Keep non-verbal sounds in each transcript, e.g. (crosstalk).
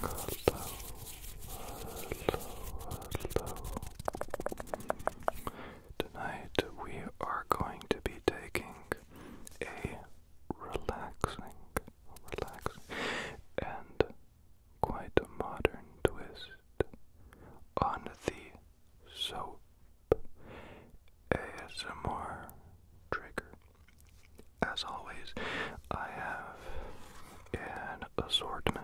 Hello, hello, hello. Tonight we are going to be taking a relaxing, relaxing, and quite a modern twist on the soap ASMR trigger. As always, I have an assortment.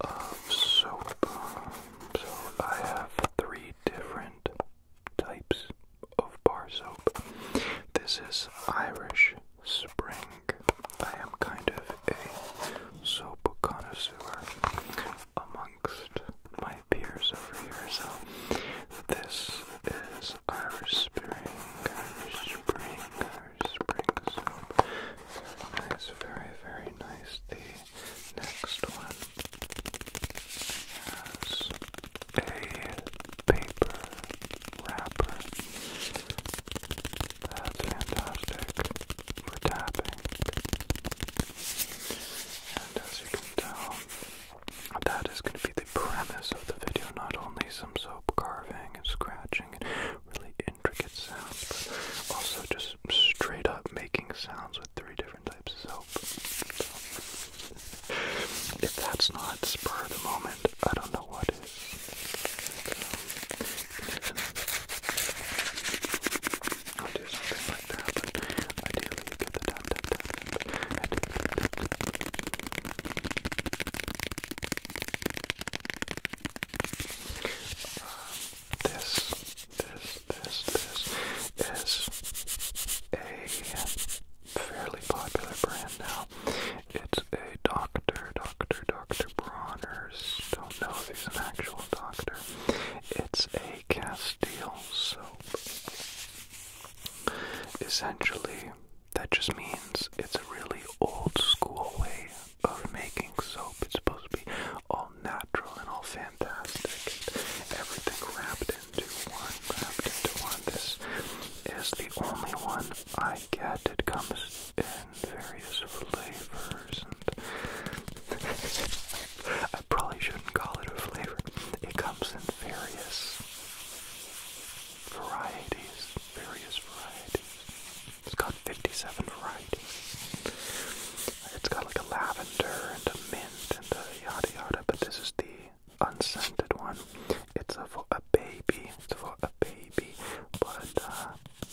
Of um, soap. Um, so I have three different types of bar soap. This is Irish Spring I am kind of a soap connoisseur amongst my peers over here. So this is Irish Spring, Irish Spring, Irish soap. very, very nice. The next one has a paper wrapper. That's fantastic for tapping. And as you can tell, that is going to be the premise of the video. Not only some soap carving and scratching and really intricate sounds, but also just straight up making sounds with three different types of soap. if that's not spur the moment, I don't know what is. I'll do something like that, but ideally you get the tap tap tap. Um, this, this, this, this is a fairly popular brand now. It's a Doctor, Doctor, Doctor Bronner don't know if he's an actual doctor. It's a Castile soap. Essentially, that just means it's a really old school way of making soap. It's supposed to be all natural and all fantastic. everything wrapped into one, wrapped into one. This is the only one I get. It comes various flavors and (laughs) I probably shouldn't call it a flavor. It comes in various varieties. Various varieties. It's got 57 varieties. It's got like a lavender and a mint and a yada yada, but this is the unscented one. It's a, for a baby. It's for a baby, but uh,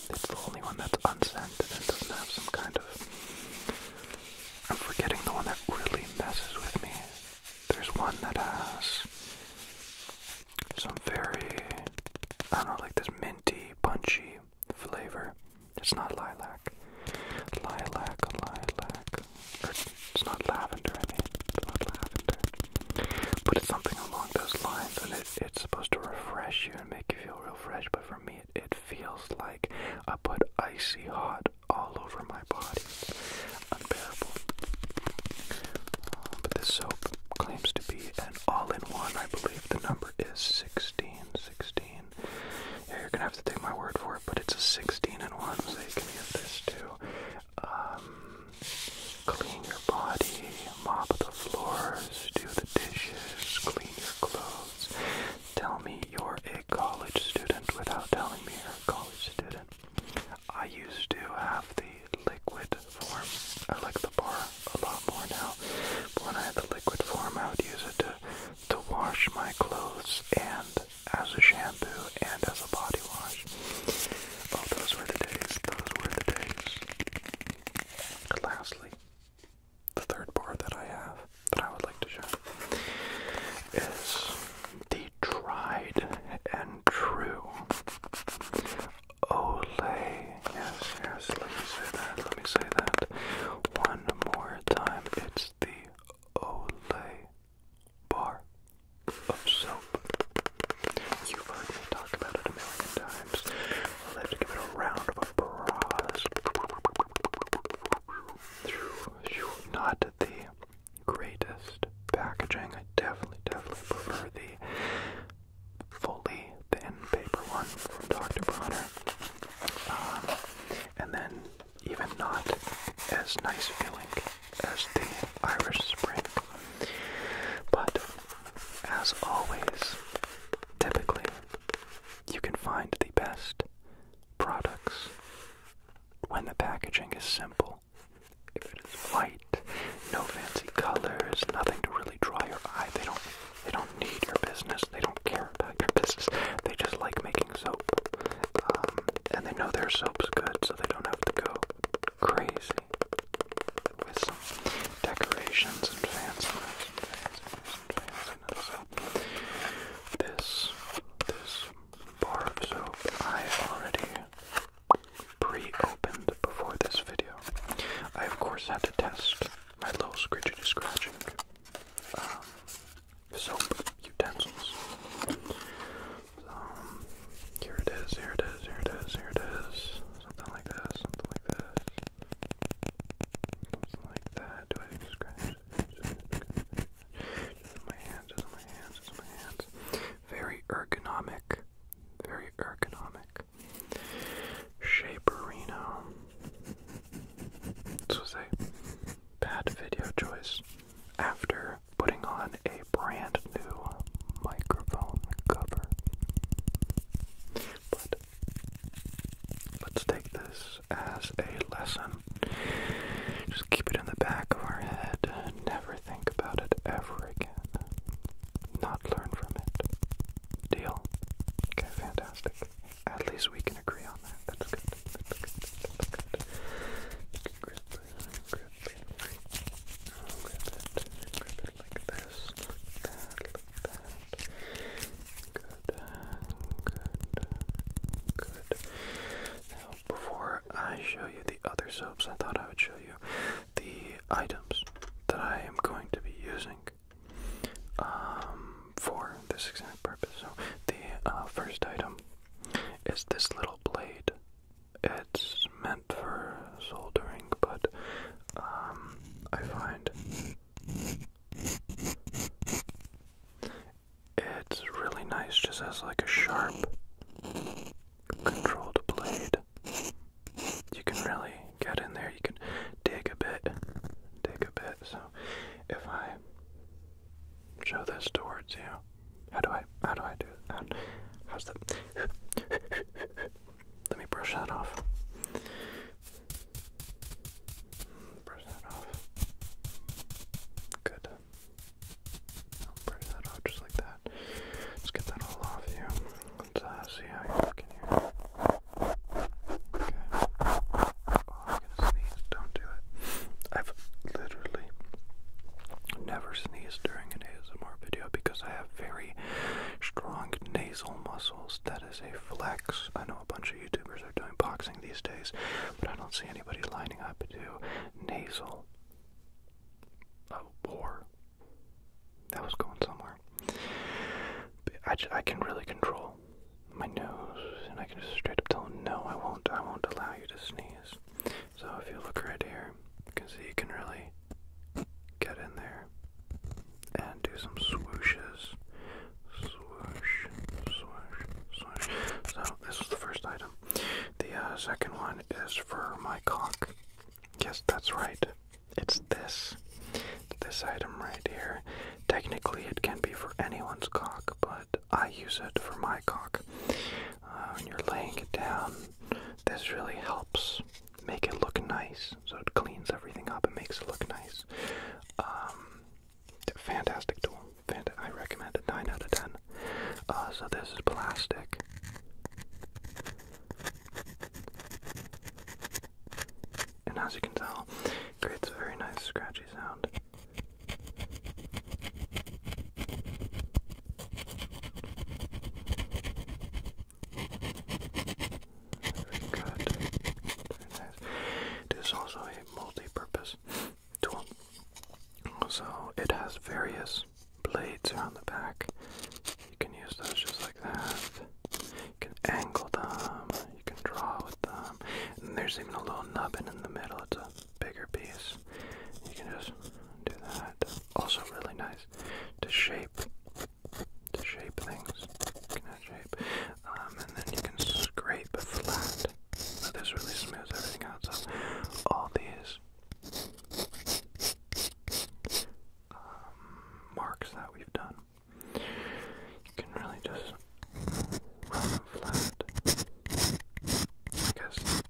it's the only one that's unscented and doesn't have some kind of. I'm forgetting the one that really messes with me. There's one that has some very, I don't know, like this minty, punchy flavor. It's not lilac. Lilac, lilac. it's not lavender, I mean. It's not lavender. But it's something along those lines, and it it's supposed to refresh you and make you feel real fresh, but for me, it, feels like I put icy hot all over my body. Unbearable. Um, but this soap claims to be an all-in-one. I believe the number is 16. 16. Yeah, you're gonna have to take my word for it, but it's a 16 in one, so you can get this too. Um, Clean your body, mop the floors, do the dishes, clean your clothes. Tell me you're a college student without telling me you're a college student. I used to have the liquid form. I like the bar a lot more now. But when I had the liquid form, I would use it to to wash my clothes and as a shampoo and as a body wash. Oh, those were the days. Those were the days lastly, the third bar that I have that I would like to show is the tried and true Olay. Yes, yes, let me say that, let me say that one more time. It's the Olay bar of soap. You've heard me talk about it a million times. i have to give it a round of applause. Not the greatest packaging. I definitely, definitely prefer the fully thin paper one from Dr. Bronner. Um, and then even not as nice feeling as the Irish Spring. But as always, typically, you can find the best products when the packaging is simple. If it is white, no fancy colors, nothing to really draw your eye, they don't they don't need your business. They don't care about your business. They just like making soap. Um, and they know their soap's good, so they don't have to go crazy with some decorations and fanciness and fanciness and So this this bar of soap I already pre-opened before this video. I of course had to test my little scritchy scratching um, soap utensils. So, here it is, here it is, here it is, here it is something like this, something like this, something like that. Do I scratch? Just my hands, just my hands, just my hands. Very ergonomic, very ergonomic. Shaperino. This was a bad video choice after putting on a brand new microphone cover. But let's take this as a lesson. Just keep it in the back of our head. Never think about it ever again. Not learn from it. Deal? Okay, fantastic. At least we can agree on that. That's good. That's good. Grip, grip, grip it, grip it like that before I show you the other soaps, I thought I would show you the items that I am going to be using um, for this exact purpose. So, the uh, first item is this little blade. It's meant for soldering, but um, I find it's really nice just as like a sharp controlled blade. You can really get in there, you can dig a bit, dig a bit. So if I show this towards you, how do I how do I do that? How's that? Let me brush that off. Brush that off. Good. brush that off just like that. Let's get that all off you. Let's uh, see how you're looking here. Okay. Oh, I'm gonna sneeze. Don't do it. I've literally never sneezed during an ASMR video because I have very strong nasal muscles. That is a flex. I know a bunch of YouTubers are doing boxing these days, but I don't see anybody lining up to nasal. Oh, uh, or that was going somewhere. I, I can really control my nose, and I can just straight up tell them, no, I won't. I won't allow you to sneeze. So if you look right here, you can see you can really get in there and do some swooshes. Swoosh, swoosh, swoosh. So, this is the first item. The uh, second one is for my cock. Yes, that's right. It's this. This item right here. Technically, it can be for anyone's cock, but I use it for my cock. And uh, you're laying it down, this really helps make it look nice. So it cleans everything up and makes it look nice. Um, fantastic tool. Fant I recommend a 9 out of 10. Uh, so this is plastic. And as you can tell, it creates a very nice scratchy sound. Very good. Very nice. It is also a multi-purpose tool. So it has various blades around the back. You can use those just like that. You can angle them. You can draw with them. And there's even a little nubbin in the middle. It's a bigger piece. You can just do that. Also really nice to shape to shape things. You can shape. Um, and then you can scrape flat. this really smooths everything out. So all these um, marks that we've done, can really just run flat. I guess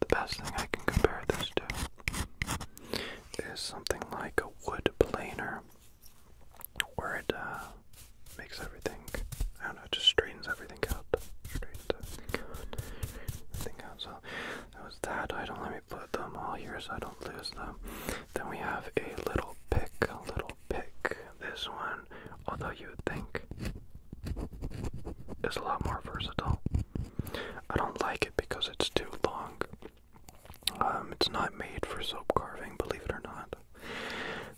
the best thing I can compare this to is something like a wood planer where it uh, makes everything, I don't know, it just straightens everything out. Straightens everything out. Everything out. So that was that don't Let me put them all here so I don't lose them. Then we have a little pick, a little pick. This one, although you would think, is a lot more versatile. I don't like it because it's too long. Um, it's not made for soap carving, believe it or not.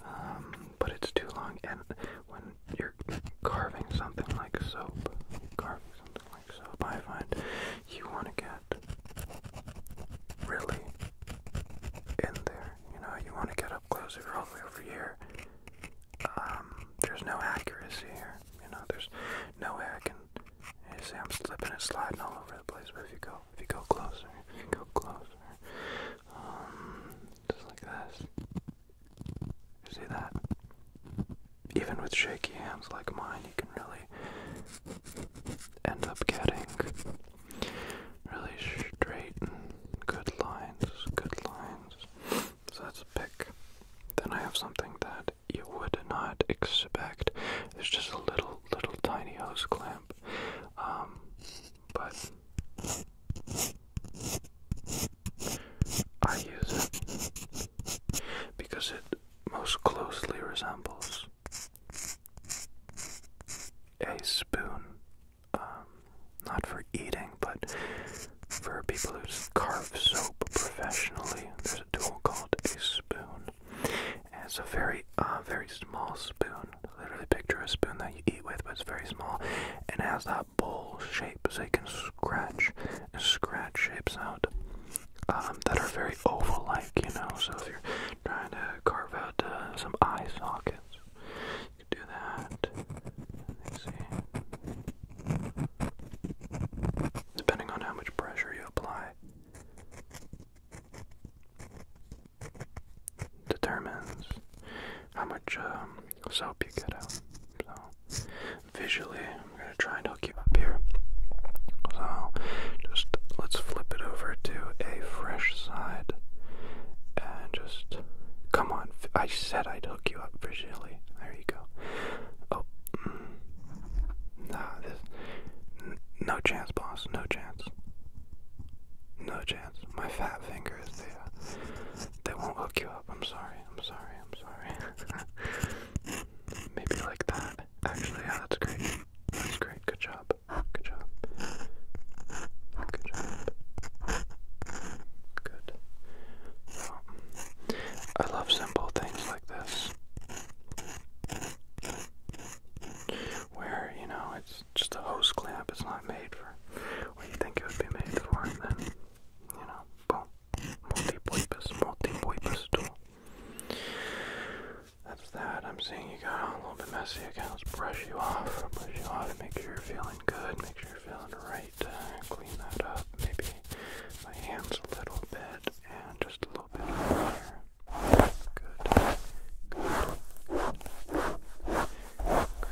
Um, but it's too long, and when you're carving something like soap, carving something like soap, I find you want to get really in there. You know, you want to get up close if you're all the way over here. Um, there's no accuracy here. You know, there's no way I can. You see, I'm slipping and sliding all over the place. But if you go, if you go closer, if you go closer, um, just like this. You see that? Even with shaky hands like mine, you can really end up getting really straight and good lines, good lines. So that's a pick. Then I have something that you would not expect. It's just a little, little tiny hose clamp. Um, but I use it because it most closely resembles a spoon. Um, not for eating, but for people who carve soap professionally, there's a tool called a spoon. it's a very, uh, very small spoon. Literally picture a spoon that you eat with, but it's very small. And it has that bowl shape, so you can scratch scratch shapes out um, that are very oval-like, you know. So if you're trying to carve out uh, some eye sockets, you can do that. Let's see depending on how much pressure you apply, determines how much um, soap you get out. So, visually, I'm going to try and hook you up here. So, just let's flip it over to a fresh side and just come on. I said I'd hook you up visually. There you go. Oh, mm. Nah, this. No chance, boss. No chance. No chance. My fat fingers, they, uh, they won't hook you up. I'm sorry. I'm sorry. I'm sorry. (laughs) Maybe like that. Actually, yeah, that's great. That's great. Good job. Good job. Good job. Good. I love simple things like this. Where, you know, it's just a hose clamp, it's not made for what you think it would be made for, then, you know, boom. Multi-purpose, multi-purpose tool. That's that. I'm seeing you got a little bit messy again. Let's brush you off. Brush you off. Make sure you're feeling good. Make sure you're feeling right might uh, clean that up, maybe my hands a little bit, and just a little bit over here. Good.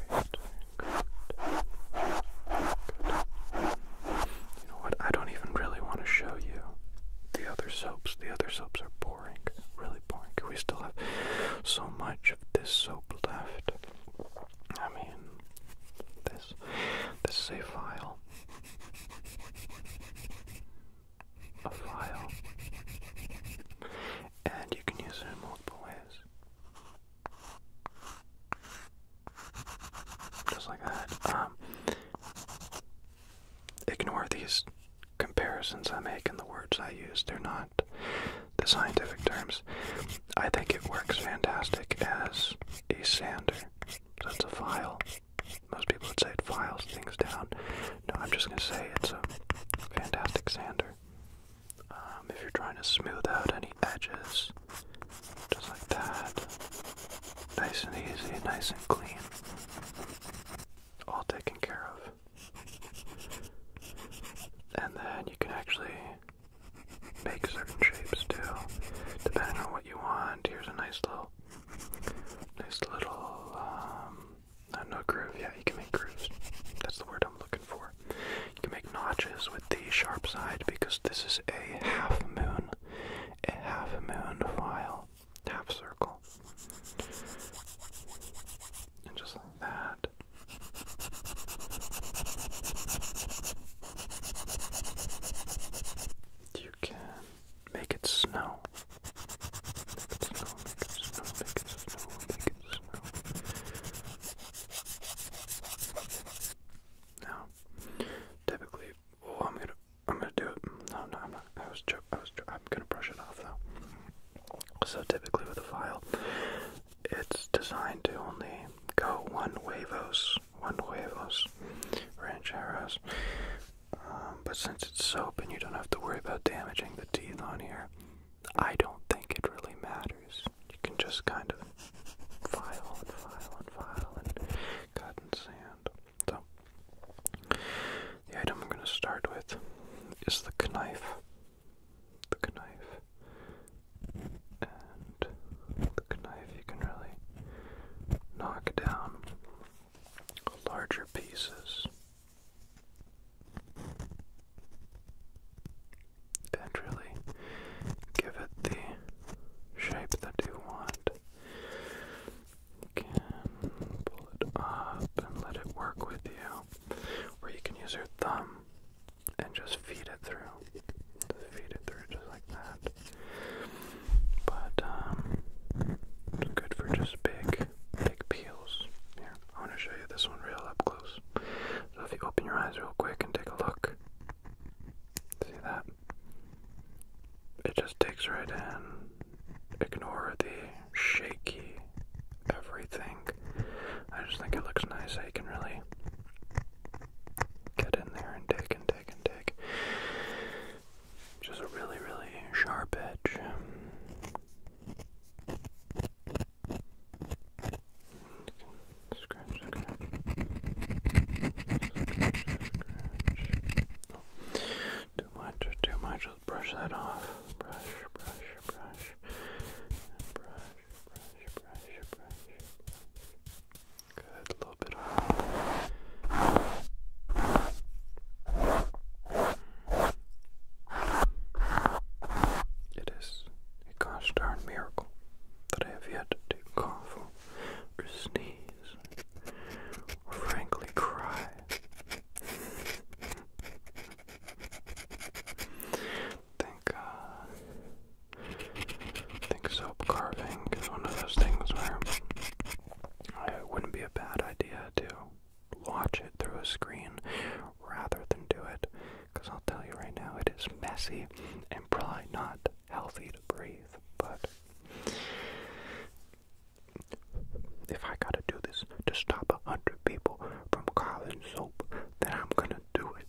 Great. Great. Good. You know what? I don't even really want to show you the other soaps. The other soaps are boring. Really boring. We still have so much of this soap left. I mean, this. is a file. A file. And you can use it in multiple ways. Just like that. Um, ignore these comparisons I make and the words I use. They're not the scientific terms. I think it works fantastic as a sander. So it's a file. Most people would say it files things down. No, I'm just going to say it's a fantastic sander. Um, if you're trying to smooth out any edges, just like that. Nice and easy, nice and clean. All taken care of. And then you can actually make certain shapes too, depending on what you want. Here's a nice little, nice little, um, uh, no groove. Yeah, you can make grooves. That's the word I'm looking for. You can make notches with the sharp side because this is a half moon, a half moon file, half circle, and just like that. You can make it snow. Make it snow, make it snow, make it snow, Now, typically, oh, I'm gonna, I'm gonna do it. No, no, I'm not. I was, I was, I'm gonna brush it off though. So typically with a file, it's designed to only go one wavos one huevos, rancheros. Um, but since it's soap and you don't have to worry about damaging the teeth on here, I don't think it really matters. You can just kind of file and file and file and cut and sand. So, the item I'm going to start with is the knife. The knife and the knife you can really knock down larger pieces and really give it the shape that you want. You can pull it up and let it work with you, or you can use your thumb and just feed it through. feed it through just like that. But um, good for just big, big peels. Here, I want to show you this one real up close. So if you open your eyes real quick and take a look. See that? It just digs right in. Ignore the shaky everything. I just think it looks nice. I can really Get in there and dig and dig and dig. Just a really, really sharp edge. Scratch, scratch. Scratch, scratch. Oh, too much, too much. Let's brush that off. Brush, brush, brush. Brush, Good, a little bit on. Mm, it is a gosh darn miracle that I have yet to cough or sneeze or frankly cry think uh, I think soap carving is one of those things where it wouldn't be a bad idea to watch it through a screen rather than do it, because I'll tell you right now, it is messy and probably not healthy to breathe. But if I gotta do this to stop a hundred people from carving soap, then I'm gonna do it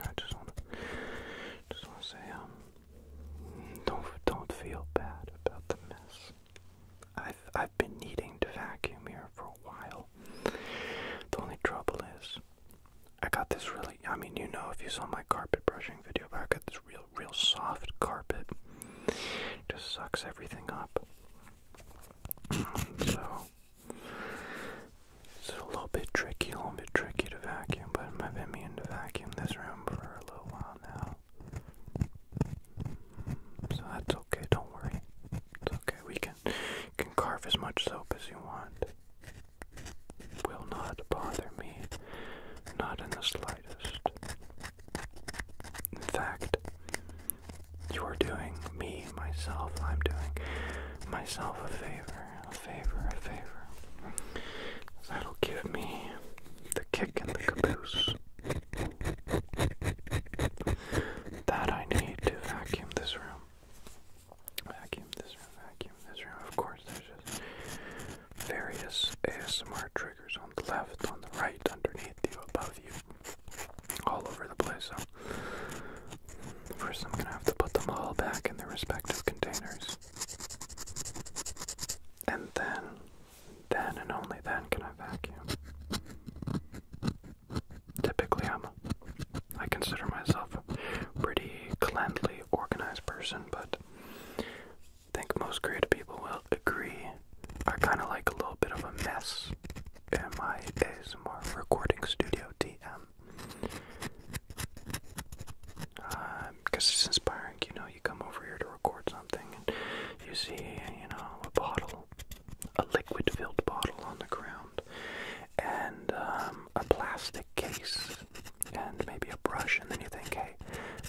I just wanna, just wanna say, um, don't don't feel bad about the mess. I've I've been needing to vacuum here for a while. The only trouble is, I got this really. I mean, you know, if you saw my carpet brushing video, but I got this real real soft carpet. Just sucks everything up so it's a little bit tricky, a little bit tricky to vacuum, but I've been meaning to vacuum this room for a little while now. So that's okay, don't worry. It's okay. We can can carve as much soap as you want. Will not bother me. Not in the slightest. In fact, you are doing me, myself, I'm doing myself a favor, a favor, a favor. That'll give me the kick in the caboose that I need to vacuum this room. Vacuum this room, vacuum this room. Of course, there's just various ASMR triggers on the left, on the right, underneath you, above you, all over the place. So first, I'm gonna have to put them all back in their respective containers, and then, then and only then can I vacuum. Typically, I'm I consider myself a pretty cleanly organized person, but I think most creative people will agree I kind of like a little bit of a mess in my ASMR recording studio DM. Because um, it's inspiring, you know, you come over here to record something and you see, you know, a bottle, a liquid filled bottle on the ground, and um, a plastic case, and maybe a brush, and then you think, hey,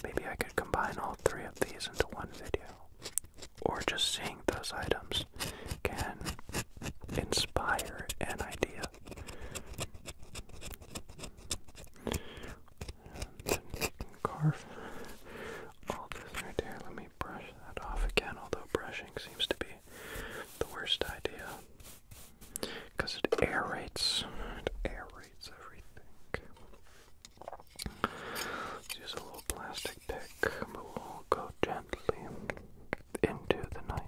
maybe I could combine all three of these into one video or just seeing those items can inspire an idea. carve all this right there. Let me brush that off again, although brushing seems to be the worst idea because it aerates. It aerates everything. Let's use a little plastic pick, but we'll go gently into the night.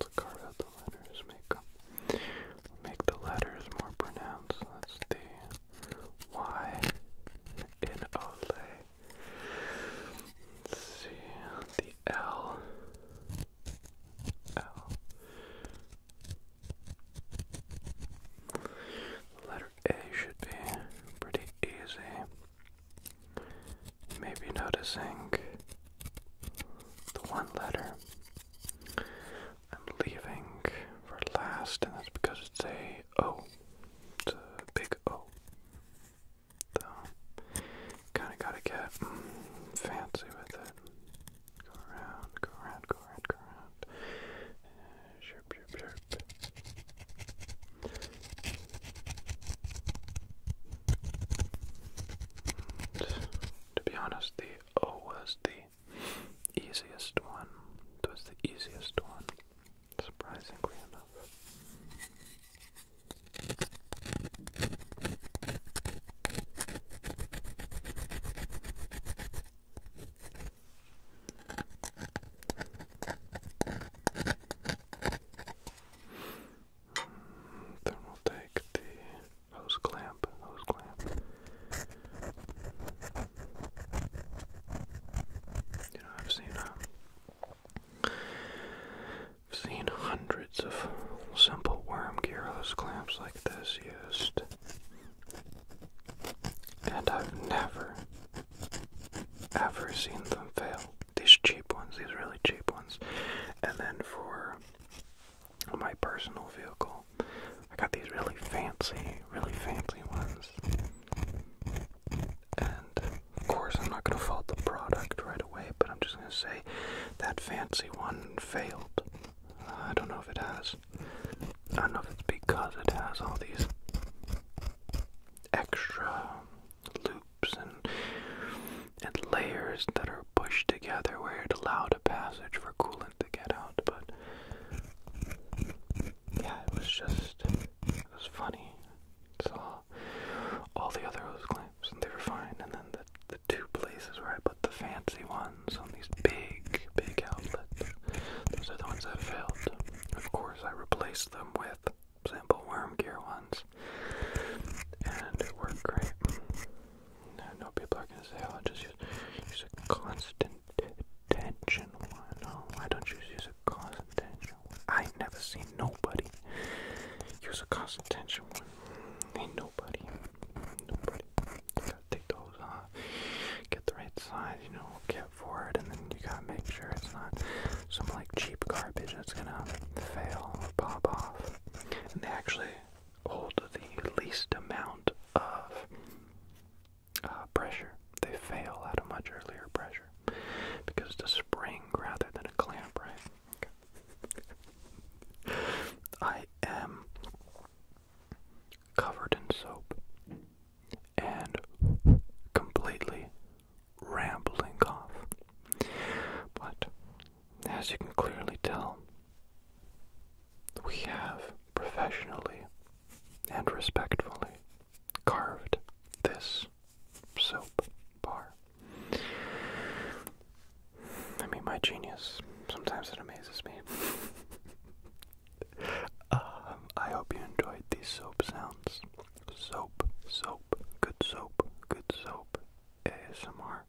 Let's carve out the letters, make them, make the letters more pronounced. That's the Y see the L. L letter A should be pretty easy. Maybe noticing the one letter I'm leaving for last, and that's because it's a O. It's a big O. So, kind of gotta get fancy with it. Go around, go around, go around, go around. Chirp, chirp, To be honest, the O was the easiest one. It was the easiest one, surprisingly enough. Then we'll take the hose clamp, hose clamp. You know, I've seen, uh, I've seen hundreds of simple worm gear hose clamps like this used. And I've never, ever seen them fail. These cheap ones, these really cheap ones. And then for my personal vehicle, I got these really fancy, really fancy ones. And of course, I'm not going to fault the product right away, but I'm just going to say that fancy one failed. Uh, I don't know if it has. I don't know if it's because it has all these extra loops and and layers that are pushed together where it allowed a passage for coolant to get out, but yeah, it was just it was funny. Saw all the other hose clamps and they were fine, and then the the two places where I put the fancy ones on these big, big outlets. Those are the ones that failed. Of course, I replaced them with simple worm gear ones, and it worked great. I know people are gonna say, "Oh, just use, use a constant tension one." why don't you use a constant tension I never seen nobody use a constant tension one. Ain't nobody, nobody. gotta take those on get the right size, you know, get for it, and then you gotta make sure it's not some like cheap garbage that's gonna fail or pop off. And they actually hold the least amount of uh, pressure. They fail at a much earlier pressure because it's a spring rather than a clamp, right? I am covered in soap and completely rambling cough, But as you can clearly tell, we have professionally and respectfully carved this soap bar. I mean, my genius, sometimes it amazes me. (laughs) Um, I hope you enjoyed these soap sounds. Soap, soap, good soap, good soap, ASMR.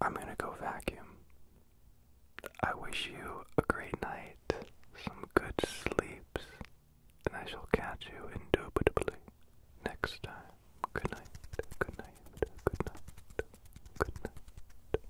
I'm gonna go vacuum. I wish you a great night, some good sleeps, and I shall catch you indubitably next time. Good night, good night, good night, good night.